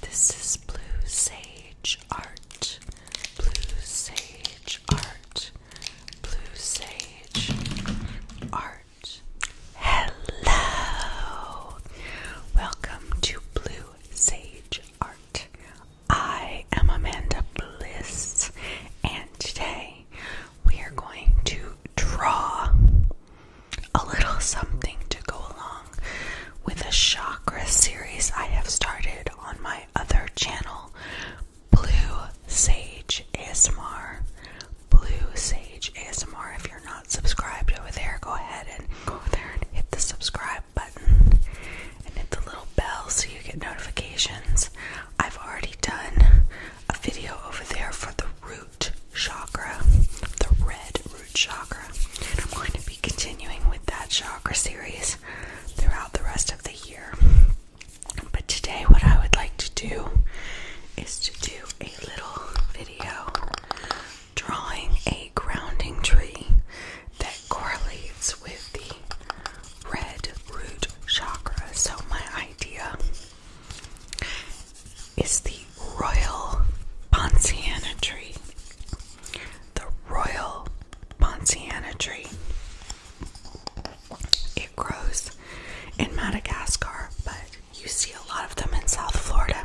This is Blue Sage Art. Blue Sage Art. Blue Sage Art. Hello! Welcome to Blue Sage Art. I am Amanda Bliss, and today we are going to draw a little something to go along with a chakra series I have started on my other channel, Blue Sage ASMR. Blue Sage ASMR. If you're not subscribed over there, go ahead and go over there and hit the subscribe button and hit the little bell so you get notifications. I've already done a video over there for the root chakra, the red root chakra. And I'm going to be continuing with that chakra series throughout the rest of the year. But today, what I would like to do is to do a little video drawing a grounding tree that correlates with the red root chakra. So, my idea is the Royal Ponciana tree. The Royal Ponciana tree. It grows in Madagascar, but you see a lot of them in South Florida.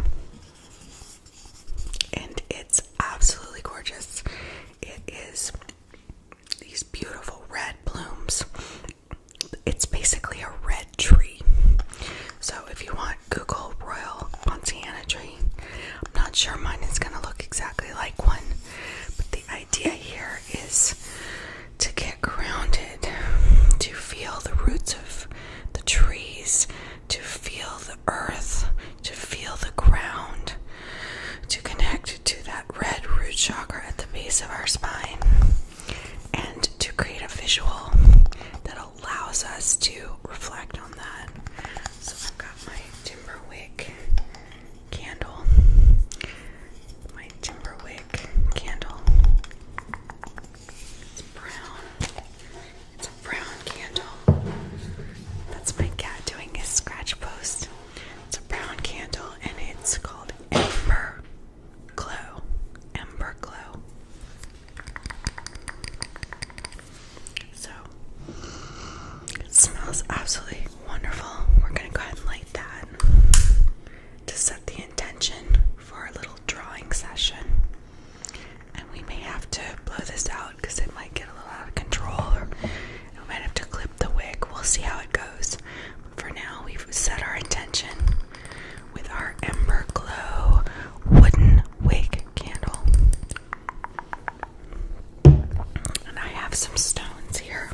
And it's absolutely gorgeous. It is these beautiful red blooms. It's basically a red tree. So if you want Google Royal Pontiana tree. I'm not sure mine is going to look exactly like one, but the idea here is to get grounded, to feel the roots of the trees, to feel the earth, to feel the ground, to connect to that red root chakra at the base of our spine, and to create a visual that allows us to reflect on that. So I've got my timber wick candle. My timber candle. It's brown. It's a brown candle. That's my cat doing his scratch post. It's a brown candle and it's called Ember Glow. Ember Glow. So it smells absolutely wonderful. We're gonna go ahead and light that to set the intention for our little drawing session. And we may have to blow this out because it might get a little out of control, or we might have to clip the wick. We'll see how it goes. But for now, we've set our intention with our Ember Glow wooden wig candle. And I have some stones here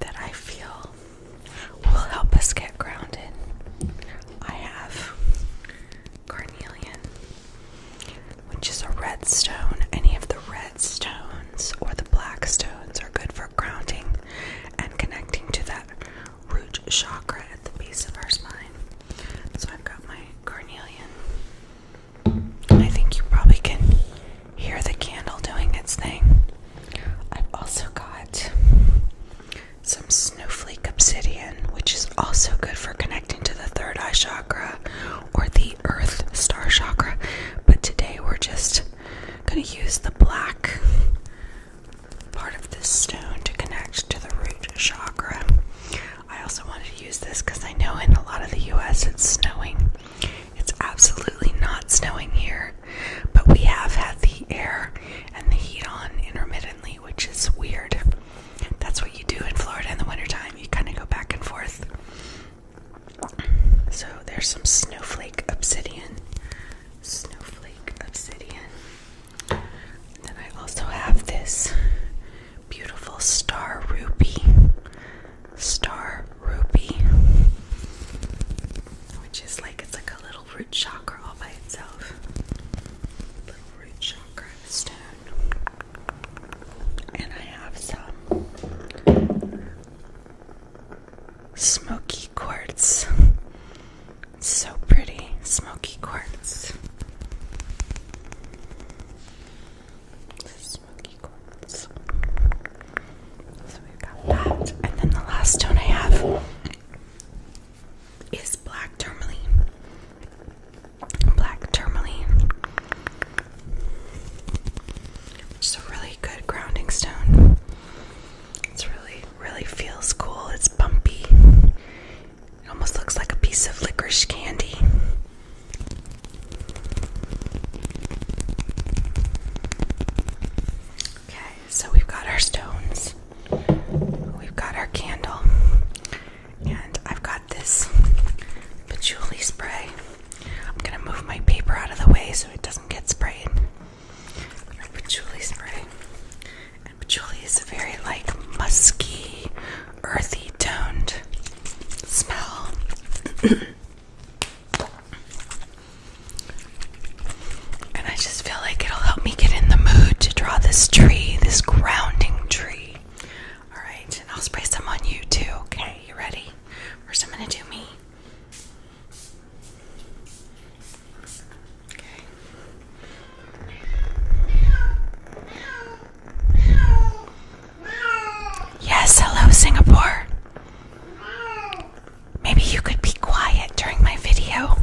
that I feel will help us get grounded. I have carnelian, which is a red stone. Any of the red stones or the black stones are good for grounding and connecting to that root chakra at the base of our spine. So I've got my cornelian. I think you probably can hear the candle doing its thing. I've also got some snowflake obsidian, which is also good for connecting to the third eye chakra or the earth star chakra. But today we're just going to use the black part of this stone to connect to the root chakra. I also wanted to use this because I know in a lot of the US it's snowing. It's absolutely not snowing here, but we have had the air and the heat on intermittently, which is weird. That's what you do in Florida in the wintertime, you kind of go back and forth. So there's some snowflake obsidian. Snowflake obsidian. Then I also have this beautiful star ruby. Star ruby. Which is like it's like a little root chakra all by itself. Little root chakra stone. And I have some smoky quartz. So pretty, smoky quartz. Smoky quartz. So we've got that. And then the last stone I have is black tourmaline. Black tourmaline. It's a really good grounding stone. It's really, really feels cool. It's bumpy. It almost looks like a piece of licorice candy. Okay, so we've got our stones, we've got our candle, and I've got this patchouli spray. I'm gonna move my paper out of the way so it doesn't get sprayed. patchouli spray. But patchouli is a very like musky, earthy toned smell. and I just feel like it'll help me get in the mood to draw this tree, this grounding tree. Alright, and I'll spray some on you too, okay? You ready? First, I'm gonna do me. Yes, hello, Singapore. Maybe you could be quiet during my video.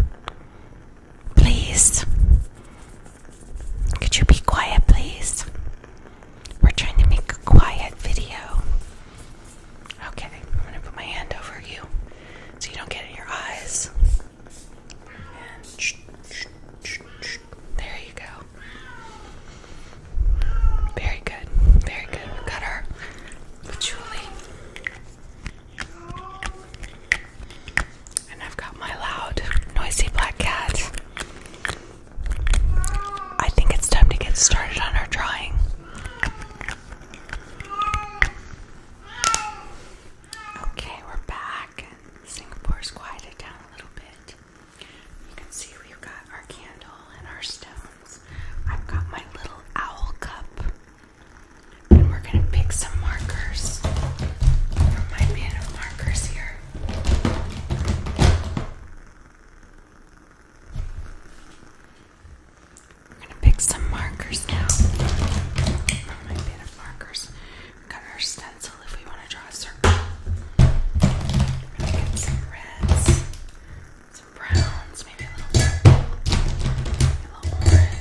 Please. Could you be quiet, please? We're trying to make a quiet video. Okay, I'm gonna put my hand over you so you don't get in your eyes. And there you go. Very good. Very good. We've got our patchouli. And I've got my loud, noisy black cat. I think it's time to get started on our drawing. Okay, we're back. Singapore's quieted down a little bit. You can see we've got our candle and our stones. I've got my little owl cup. And we're going to pick some markers my bin of markers here. We're going to pick some markers now my bin of markers got our stencil if we want to draw a circle. We're gonna get some reds, some browns, maybe a little, orange.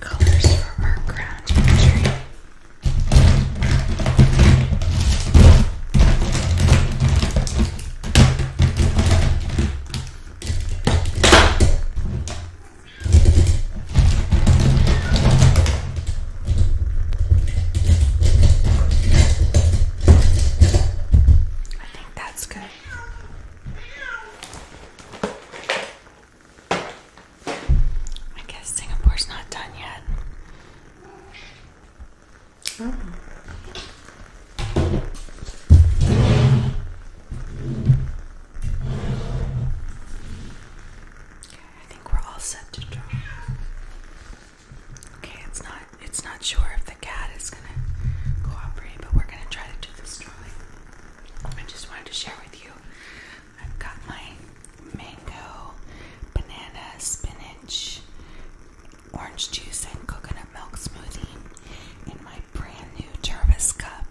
Colors for our ground imagery. I think that's good. I guess Singapore's not done yet. Okay, I think we're all set to draw. Okay, it's not it's not sure if the cat is gonna cooperate, but we're gonna try to do this drawing. I just wanted to share with you. I've got my mango, banana, spinach, orange juice and coconut milk smoothie in my brand new Jarvis cup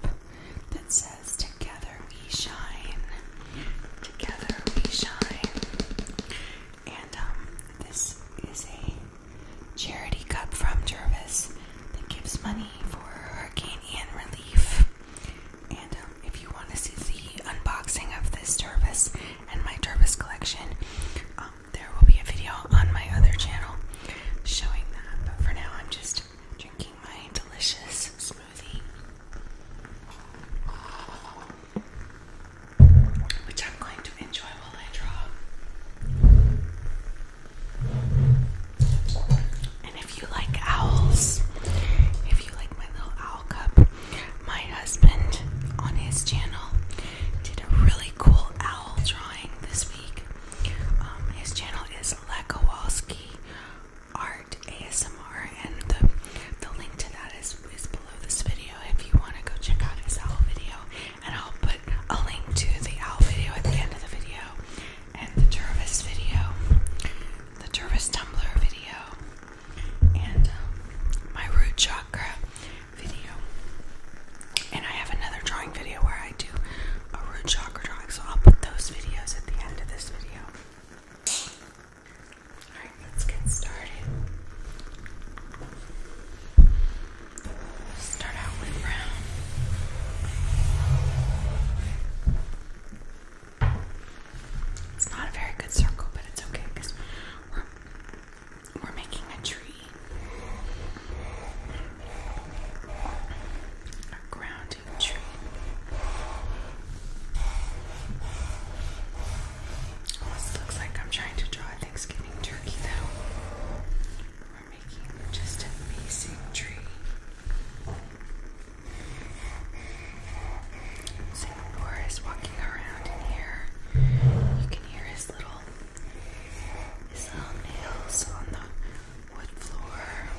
that says, Together we shine. Together we shine. And um, this is a charity cup from Jarvis that gives money for Hurricane relief. And um, if you want to see the unboxing of this Jarvis and my Turbis collection. Um, there will be a video on my other channel showing that, but for now I'm just drinking my delicious smoothie, which I'm going to enjoy while I draw. And if you like owls, if you like my little owl cup, my husband on his channel did a really cool owl drawing this week. Um, his channel is Lekowalski Art ASMR, and the, the link to that is, is below this video if you want to go check out his owl video. And I'll put a link to the owl video at the end of the video, and the Jervis video, the Jervis Tumblr video and um, my root chakra video. And I have another drawing video where I do a root chakra drawing, so I'll put those videos at the end of this video. Alright, let's get started. start out with brown. It's not a very good circle, but it's okay because we're making a tree. A grounding tree. looks like I'm trying to draw a Thanksgiving turkey though. We're making just a basic tree. Boris walking around in here. You can hear his little his little nails on the wood floor.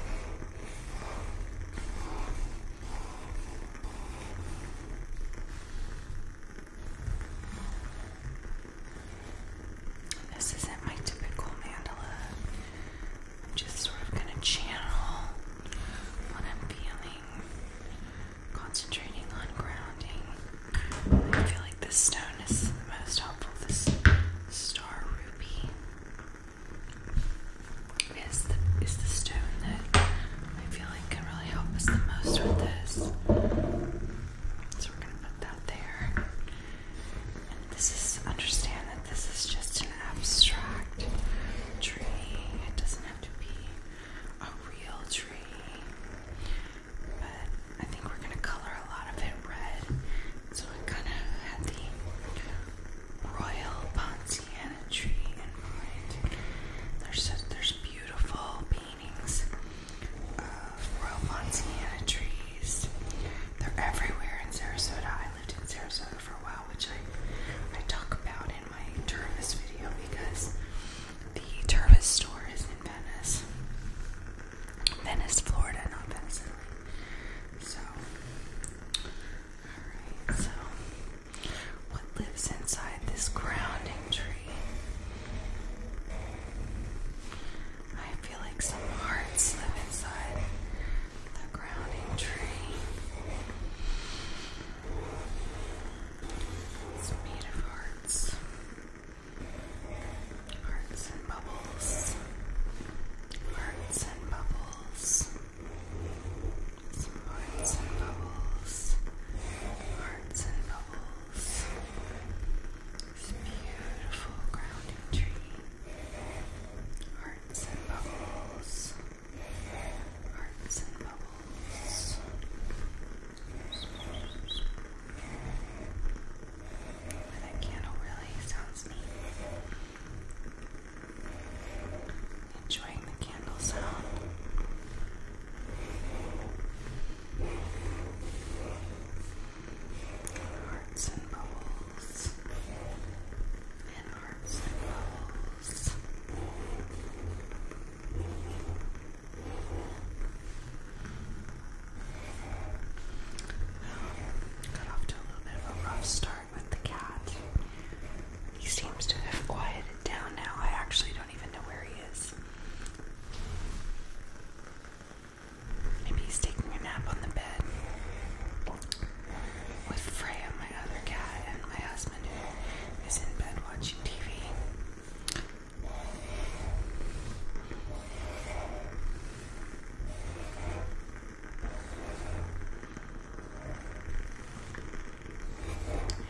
This isn't my typical mandala. just sort of gonna channel what I'm feeling concentrating on grounding. I feel like this stone is the most helpful. This star ruby is the is the stone that I feel like can really help us the most with this. So we're gonna put that there. And this is understand that this is just an abstract tree. It doesn't have to be a real tree, but I think we're gonna color a lot of it red. So it kind of had the royal Ponciana tree in mind. There's a, there's beautiful paintings of royal Ponciana trees. They're everywhere in Sarasota. I lived in Sarasota for a while, which I I talk about in my tourist video because the Turvis store is in Venice. Venice, Florida, not Venice, So, alright, so what lives inside this grounding tree? I feel like some hearts live inside the grounding tree. It's made of hearts. Hearts and bubbles. Hearts and bubbles. Some hearts and bubbles. Hearts and bubbles. This beautiful grounding tree. Hearts and bubbles. Hearts and bubbles that candle really sounds neat. Enjoying the candle sound. Hearts and bubbles. And hearts and bubbles. Got off to a little bit of a rough start with the cat. He seems to have quieted down now. I actually don't even know where he is. Maybe he's taking a nap on the bed with Freya, my other cat, and my husband, who is in bed watching TV.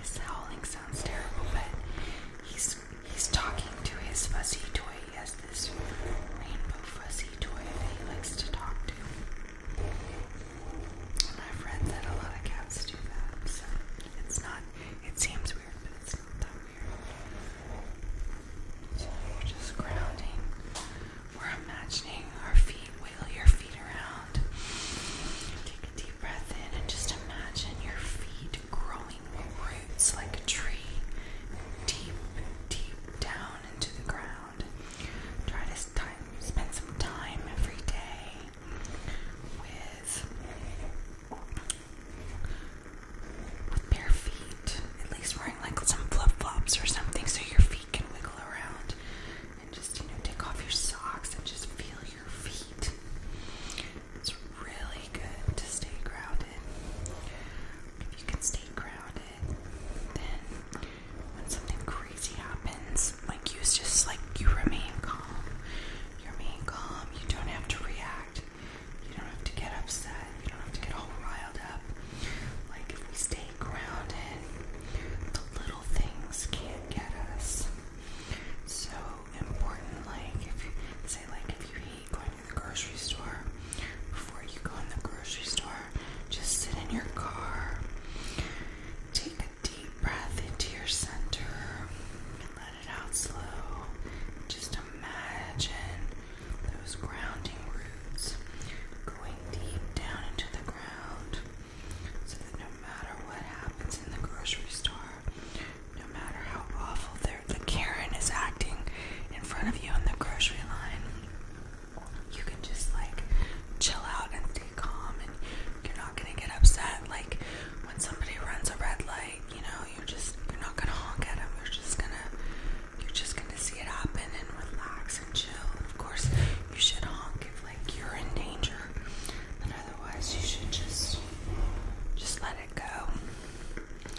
His howling sounds terrible, but he's he's talking to his fuzzy toy. He this rainbow fuzzy toy that he likes to talk to. And I've a lot of cats do that, so it's not it seems weird, but it's not that weird. So we're just grounding. We're imagining our feet, wiggle your feet around. Take a deep breath in and just imagine your feet growing roots like a tree. Deep, deep down into the ground. Try to spend some time every day with bare feet. At least wearing like some flip flops or something so your feet can wiggle around and just you know take off your socks and just feel your feet. It's really good to stay grounded. If you can stay grounded, then when something crazy happens, like you just like you remain calm you're being calm. You don't have to react. You don't have to get upset. You don't have to get all riled up. Like, if we stay grounded, the little things can't get us. So important, like, if you say, like, if you hate going to the grocery store, before you go in the grocery store, just sit in your car. Take deep breath into your center and let it out slow. Just imagine those grounding roots going deep down into the ground so that no matter what happens in the grocery store, no matter how awful the Karen is acting in front of you on the grocery line, you can just like chill out and calm and you're not gonna get upset. Like when somebody runs a red light, you know, you're just you're not gonna honk at them. You're just gonna you're just gonna see it happen and relax and chill. And of course, you should honk if like you're in danger, but otherwise, you should just just let it go.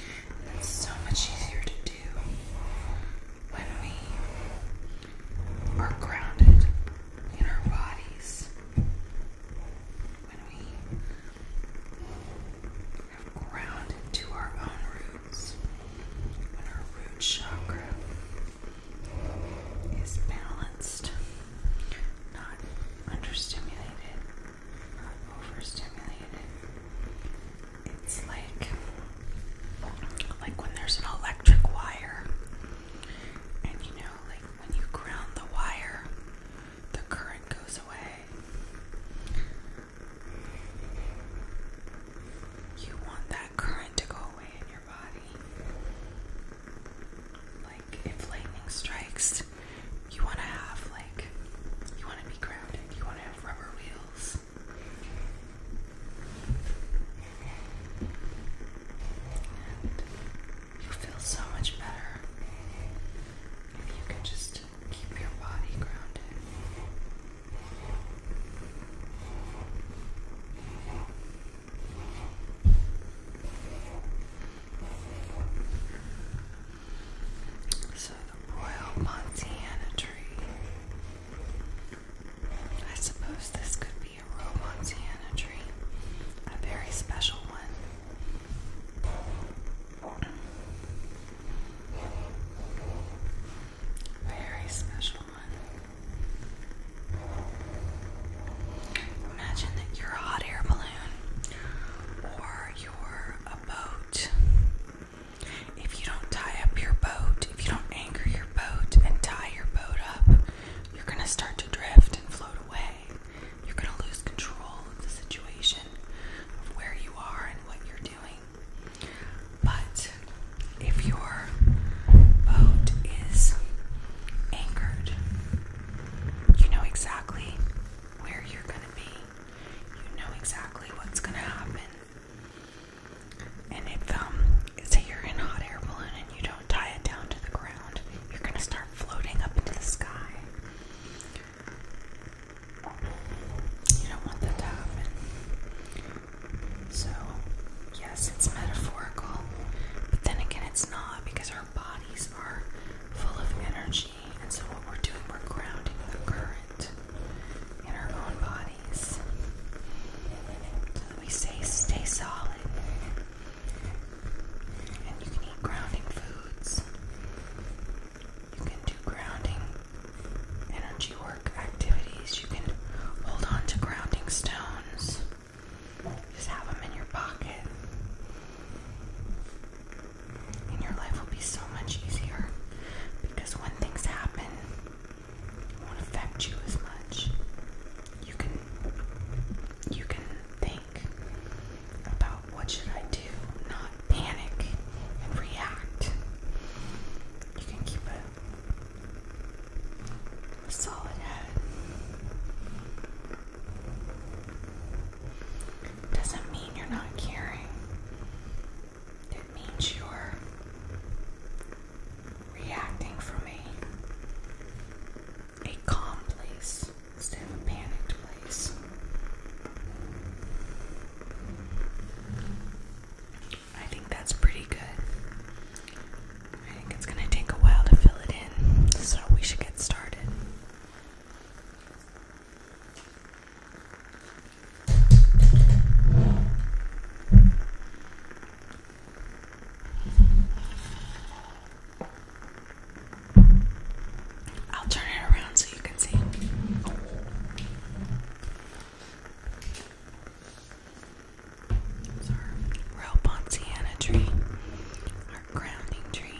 It's so much easier to do when we are grounded in our bodies when we have ground into our own roots, when our root chakra is balanced, not understimulated, not overstimulated. It's like like when there's an electric wire and you know like when you ground the wire, the current goes away. You want that current to go away in your body. Like if lightning strikes, you want to have, like, you want to be grounded, you want to have rubber wheels you feel so much better if you can just keep your body grounded. So, the Royal Montana tree. I suppose this could a Romontana tree, a very special one. Very special one. Imagine that you're a hot air balloon or you're a boat. If you don't tie up your boat, if you don't anchor your boat and tie your boat up, you're going to start to drift and float away. You're going to lose control of the situation, of where you are and what you're doing. But if your boat is anchored, you know exactly where you're going to be, you know exactly what's going to happen. And if um, say you're in a hot air balloon and you don't tie it down to the ground, you're going to start floating up into the sky. You don't want that to happen. So, yes, it's metaphorical, but then again, it's not because our bodies are full of energy, and so what we're doing, we're grounding the current in our own bodies. we say, stay solid. And you can eat grounding foods. You can do grounding energy work activities. You can hold on to grounding stones. Just have them in your pocket. And your life will be so much easier because when things happen, it won't affect you as much. You can you can about what should I do, not panic and react. You can keep a, solid head. Doesn't mean you're not caring. It means you're reacting from a a calm place instead of a panicked place. I think that's pretty good. I think it's going to take a while to fill it in, so we should get started. I'll turn it around so you can see. our real tree, our grounding tree.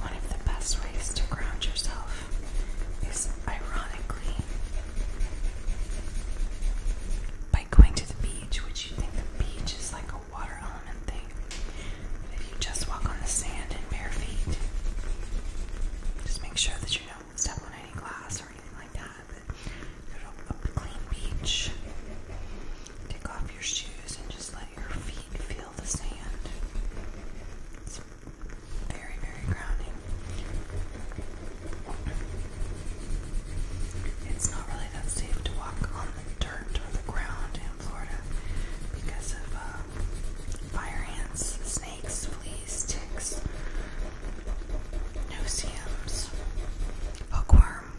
One of the best ways to ground yourself is ironically, by going to the beach, which you think the beach is like a water element thing, but if you just walk on the sand in bare feet, just make sure that you don't step on any glass or anything like that. But go to a clean beach, take off your shoes, and just let your feet feel the sand. Very, very grounding. It's not really that safe to walk on dirt or the ground in Florida because of uh, fire ants, snakes, fleas, ticks, noceums, hookworm.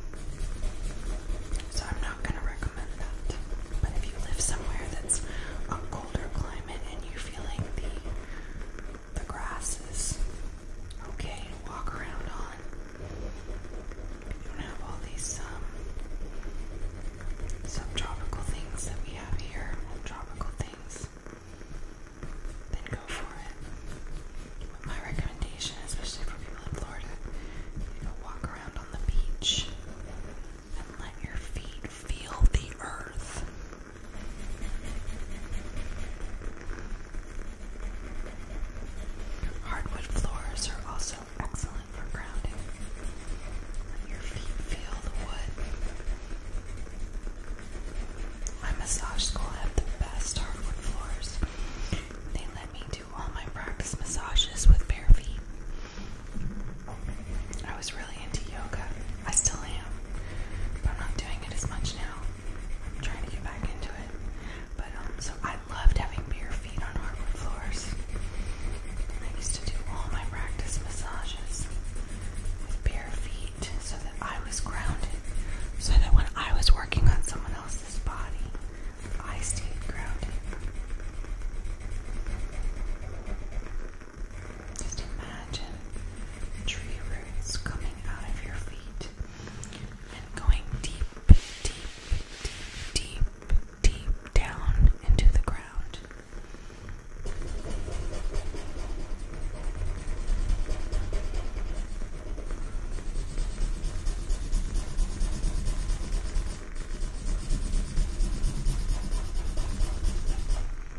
So I'm not going to recommend that. But if you live somewhere that's a colder climate and you feeling the the grass is okay walk around on. You don't have all these um, subtropical things that we have here, tropical things. Then go for it. my recommendation, especially for people in Florida, you go walk around on the beach and let your feet feel the earth. Hardwood floors are also excellent for grounding. Let your feet feel the wood. My massage school had the best hardwood floors. They let me do all my practice massages with bare feet. I was really into yoga. I still am. But I'm not doing it as much now. I'm trying to get back into it. But um so I loved having bare feet on hardwood floors. I used to do all my practice massages with bare feet so that I was grounded. So that when I was working on someone else's body, I stayed grounded. Just imagine tree roots coming out of your feet and going deep, deep, deep, deep, deep down into the ground.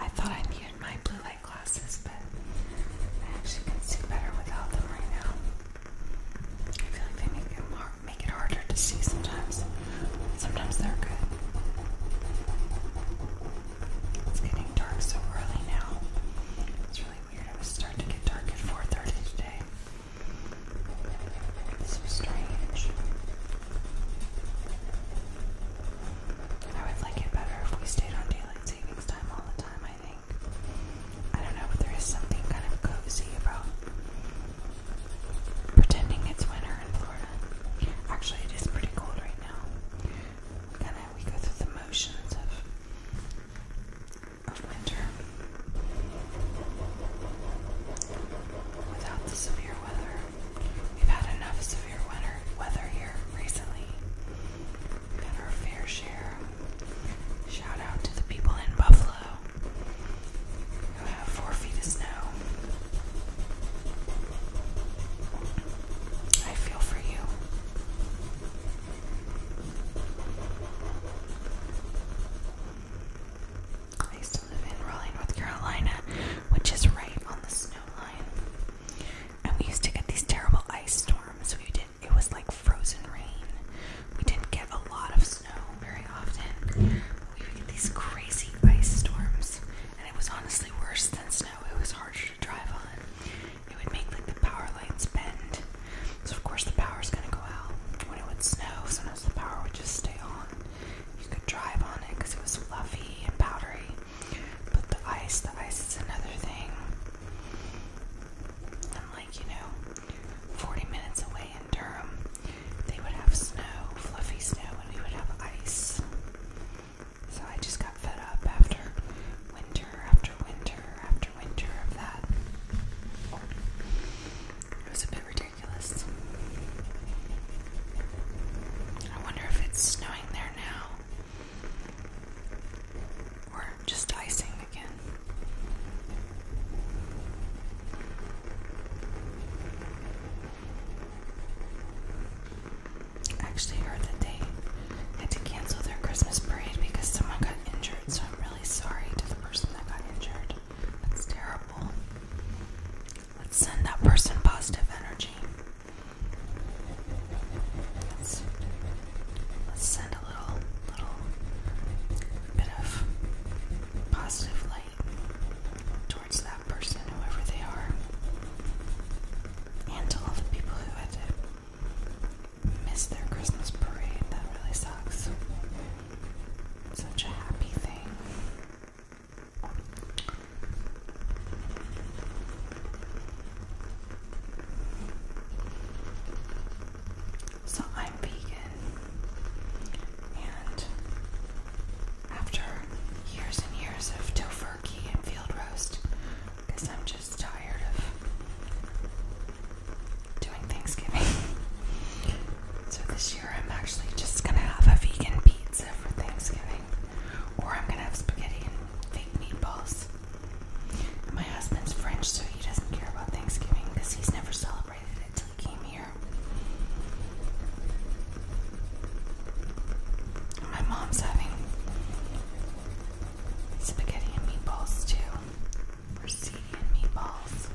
I thought I needed my blue light glasses, but I actually can see better without them right now. I feel like they make it more, make it harder to see sometimes. Sometimes they're good. It's getting dark so early now. It's really weird. It was starting to get dark at 4.30 today. It's so strange. I would like it better if we stayed on daylight savings time all the time, I think. I don't know, but there is something kind of cozy about pretending it's winter in Florida. Actually, it is pretty cold right right now. Kind of we go through the motions of of winter without the severe weather. We've had enough severe winter weather here recently. we our fair share. Shout out to the people in Buffalo who have four feet of snow. I feel for you. I used to live in Raleigh, North Carolina, which is right on the snow line. And we used to get these terrible ice storms. We did it was like frozen rain. We didn't get a lot of snow very often. We would get these crazy ice storms and it was honestly worse than snow. It was harder to drive on. It would make like the power lights bend. So of course the power is gonna go out. When it would snow, sometimes the power would just stay on. You could drive on it because it was fluffy and powdery. But the ice, the ice is another thing. I'm like, you know, 40 minutes away in Durham, they would have snow, fluffy snow, and we would have ice. So I just got fed up after winter, after winter, after winter of that. It was a bit ridiculous. I wonder if it's snowing there now. Or just icing again actually heard that they had to cancel their Christmas parade because someone got injured, so I'm really sorry to the person that got injured. That's terrible. Let's send that person positive energy. Let's, send a little, little bit of positive light towards that person, whoever they are, and to all the people who had to miss their Christmas parade. That really sucks. Such a happy thing. So I'm vegan, and after years and years of tofu and field roast because I'm just tired of doing Thanksgiving. so this year I'm actually just gonna have a vegan pizza for Thanksgiving, or I'm gonna have spaghetti and fake meatballs. my husband's French, so he doesn't care about Thanksgiving because he's never celebrated it till he came here. My mom's having spaghetti and meatballs too. Or sea and meatballs.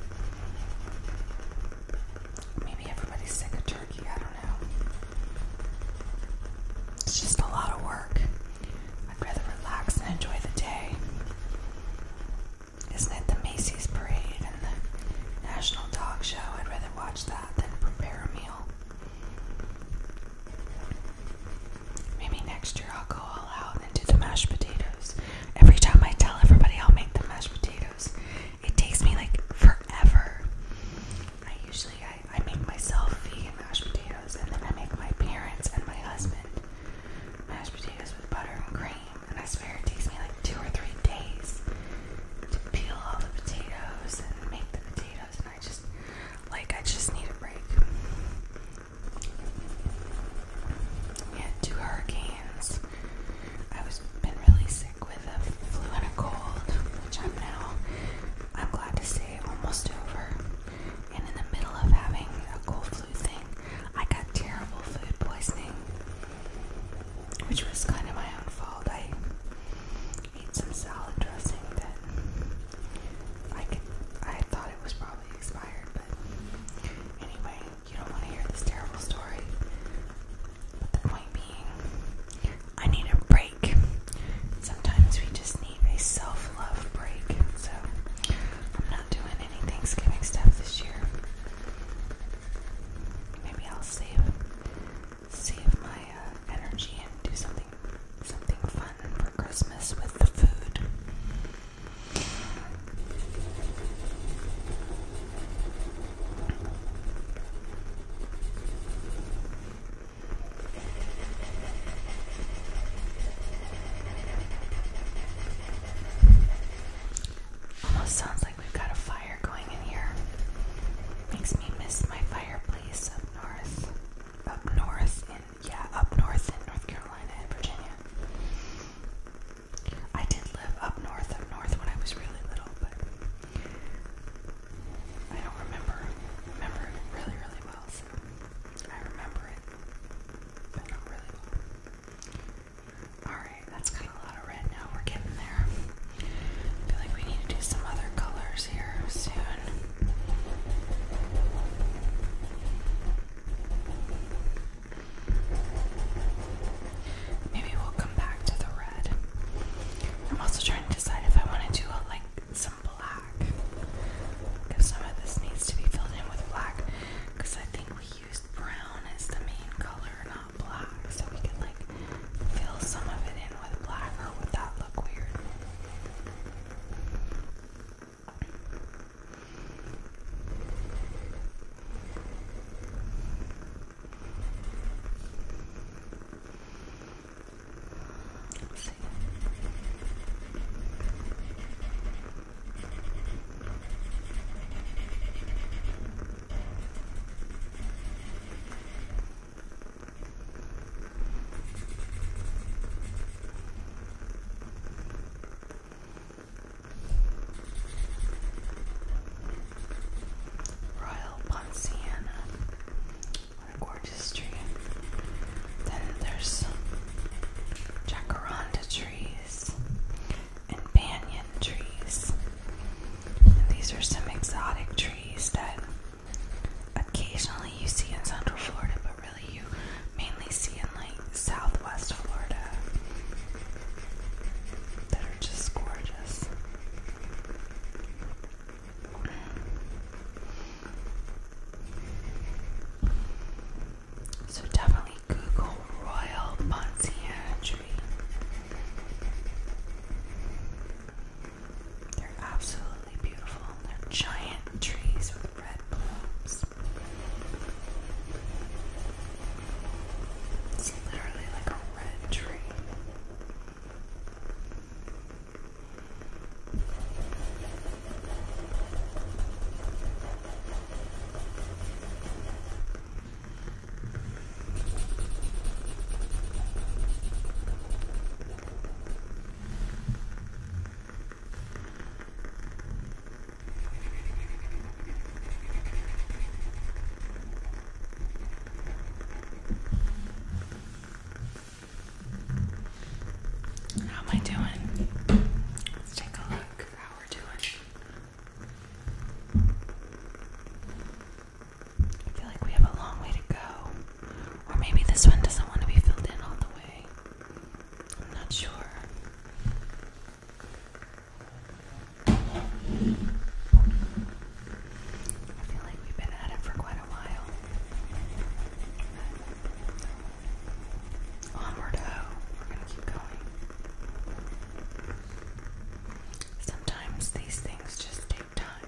Maybe everybody's sick of turkey, I don't know. It's just a lot of work. I'd rather relax and enjoy the day. Isn't it the Macy's Parade and the National Dog Show? I'd rather watch that than prepare a meal. Maybe next year I'll go all out and do the mashed potatoes. Every time I tell everybody I'll make the mashed potatoes, it takes me like forever. I usually I, make myself vegan mashed potatoes and then I make my parents and my husband mashed potatoes with butter and cream and I swear it takes me like two or three days peel all the potatoes and make the potatoes, and I just like I just need a break. We had two hurricanes. I was been really sick with a flu and a cold, which I'm now I'm glad to say almost over. And in the middle of having a cold flu thing, I got terrible food poisoning, which was kind of my own fault. I Need some salad dressing that I could, I thought it was probably expired, but anyway, you don't want to hear this terrible story. But the point being, I need a break. Sometimes we just need a self-love break. So I'm not doing any Thanksgiving stuff this year. Maybe I'll save save my uh, energy and do something something fun for Christmas with the food. Almost sounds like we've got a fire fire going in here. Makes me miss my fireplace up north. Up north in, yeah, up north in North Carolina and Virginia. I did live up north, up north when I was really little, but I don't remember, remember really, really well, so I remember it, but not really well. Alright, that's got a lot of now. We're getting there. I feel like we need to do some other colors here soon. Maybe we'll come back to the red. I'm also trying to decide if I want to do like some black. Because some of this needs to be filled in with black. Because I think we used brown as the main color, black, so we can like fill some of it in with black, or would that look weird? Royal Ponciana. What a gorgeous tree. Then there's jacaranda trees and banyan trees. these are some exotic trees that occasionally you see in Central Florida, but really you mainly see in like Southwest Florida that are just gorgeous. So definitely Google Royal Ponzian tree. They're absolutely beautiful, they're giant trees with red blooms. It's literally like a red tree. How am I doing? Let's take a look how we're doing. I feel like we have a long way to go. Or maybe this one doesn't want to be filled in all the way. I'm not sure. I feel like we've been at it for quite a while. Onward, oh, we're gonna keep going. Sometimes these things just take time.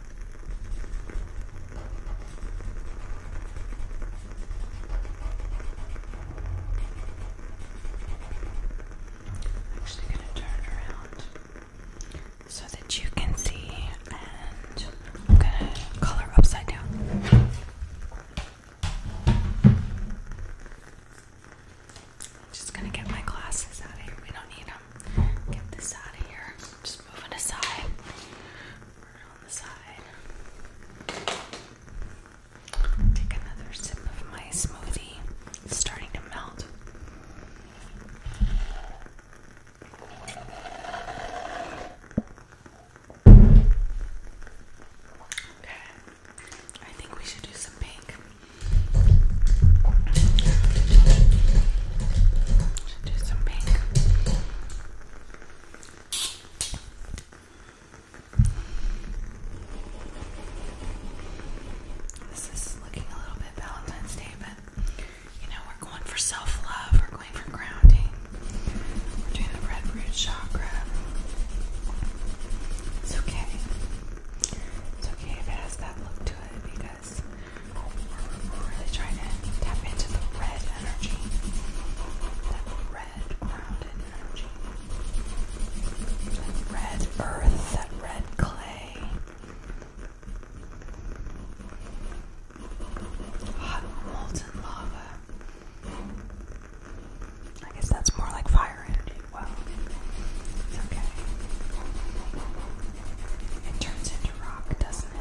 I'm actually going to turn around so that you can see, and I'm going to color upside down. Just gonna get my glasses out of here. We don't need them. Get this out of here. Just moving aside. Put it on the side. Take another sip of my smoothie. It's starting to melt. Okay. I think we should do some pink. Should do some pink. This is looking a little bit Valentine's Day, but you know, we're going for self love, we're going for grounding, we're doing the red root chakra. It's okay. It's okay if it has that look to it we're really trying to tap into the red energy. That red grounded energy. That red earth, that red clay. molten lava. I guess that's more like fire energy. Well, it turns into rock, doesn't it?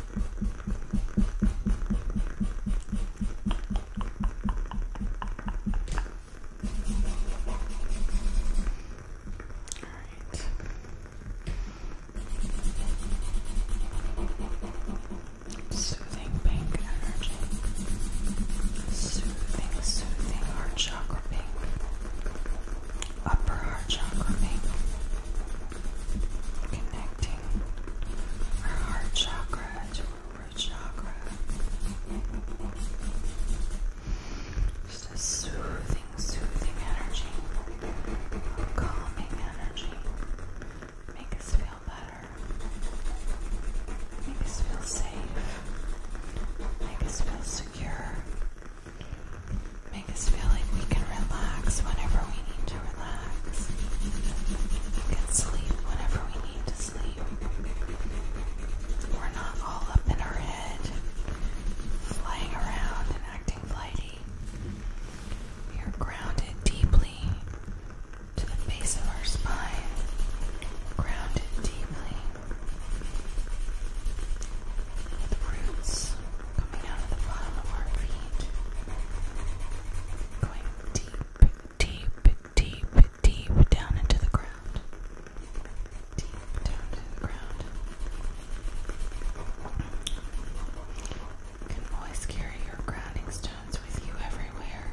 right. Soothing pink energy. Soothing, soothing heart chakra pink. Upper heart chakra pink connecting our heart chakra to our root chakra. Just a soothing, soothing energy, calming energy. Make us feel better. Make us feel safe. Make us feel secure make us feel like we can relax whenever we need to relax. We can sleep whenever we need to sleep. We're not all up in our head, flying around and acting flighty. We are grounded deeply to the base of our spine, grounded deeply with coming out of the bottom of our feet, going deep, deep, deep, deep down into the ground. Deep down to the ground. can always carry your grounding stones with you everywhere.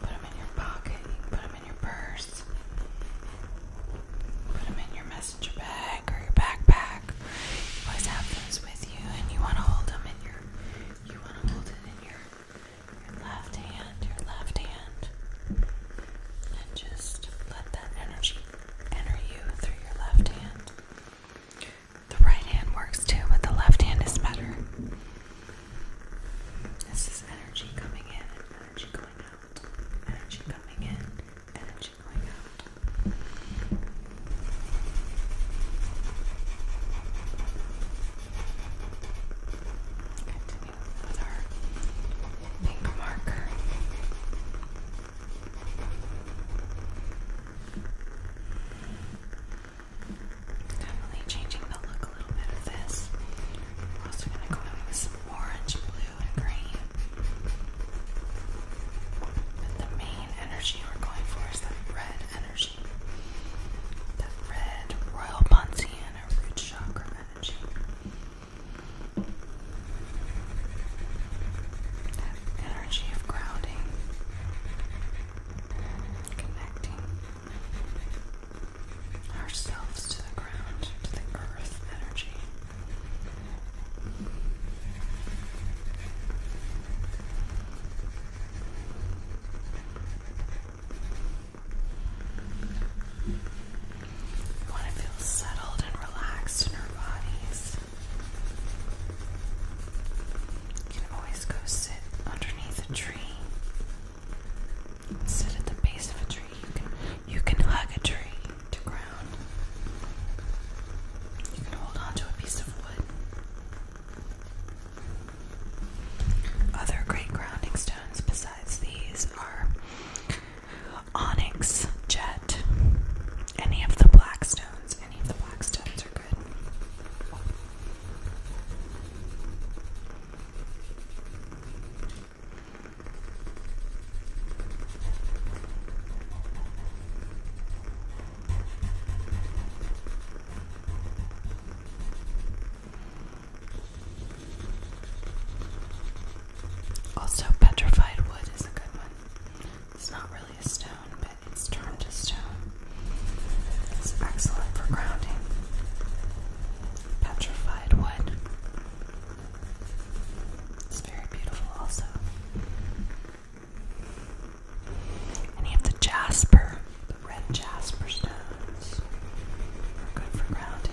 put them in your pocket, put them in your purse, put them in your mess messenger bag or your backpack. You always have those with you, and you want to hold them in your. You want to hold it in your left hand, your left hand, and just let that energy enter you through your left hand. The right hand works too, but the left hand is better. This is energy coming in and energy going out. Energy coming in, energy tension going Continue with our pink marker. Definitely changing the look a little bit of this. also going to go in with some orange, blue, and green. But the main energy we're going for is that red energy. That red royal Ponciana root chakra energy. That energy of grounding, connecting ourselves to the ground, to the earth energy. You want to feel settled and relaxed in our bodies. You can always go sit underneath a tree. Sit at the base of a tree. you can hug a tree to ground. You can hold on to a piece of wood. Other great grounding stones besides these are onyx, jet, any of the black stones. Any of the black stones are good. Also, petrified wood is a good one. It's not really a stone, but it's turned to stone. It's excellent for grounding. Petrified wood. It's very beautiful, also. And you have the jasper, the red jasper stones are good for grounding.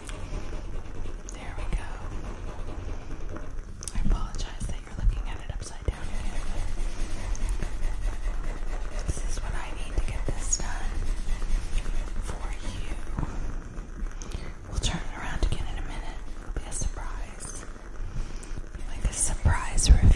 There we go. I apologize that you're looking at it upside down. This is what I need to get this done for you. We'll turn it around again in a minute. be a surprise. like a surprise reveal.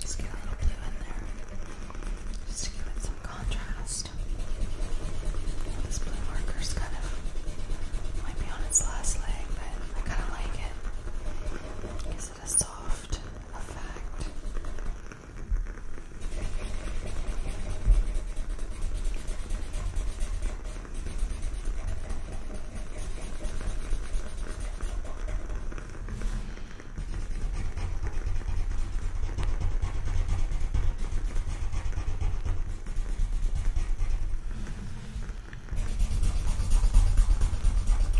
Just get a little blue in there. Just to give it some contrast. This blue marker's kind of might be on its last leg, but I kind of like it because it has soft effect.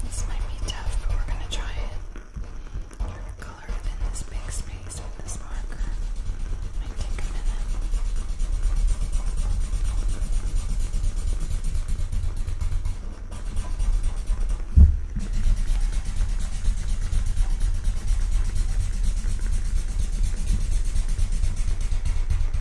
This might be tough, but we're gonna try it. You're gonna color within this big space with this marker. Might take a minute.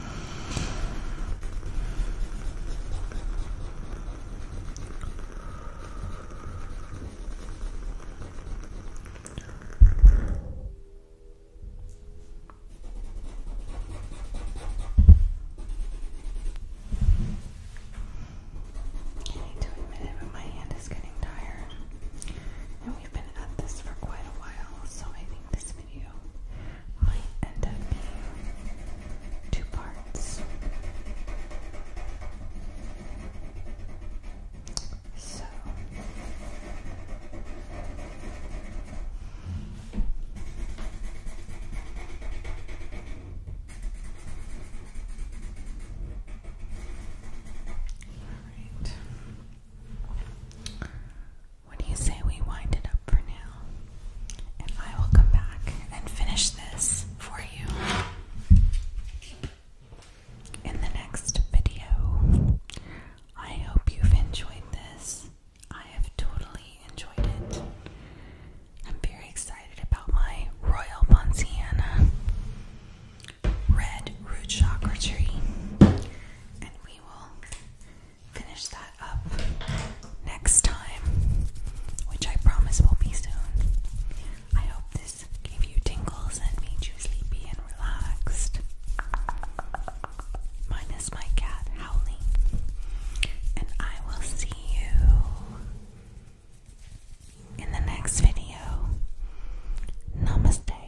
I need to admit it, but my hand is getting tired. And we've been at this for quite a while, so I think this video might end up being two parts. So Alright. What do you say we wind it up for now? And I will come back and finish this for you in the next video. I hope you've enjoyed this. I have totally enjoyed it. I'm very excited about my Royal Ponciana Red Root Chakra Tree. And we will finish that up next time, which I promise will be soon. I hope this gave you tingles and made you sleepy and relaxed. Minus my cat howling. And I will see you in the next video. Namaste.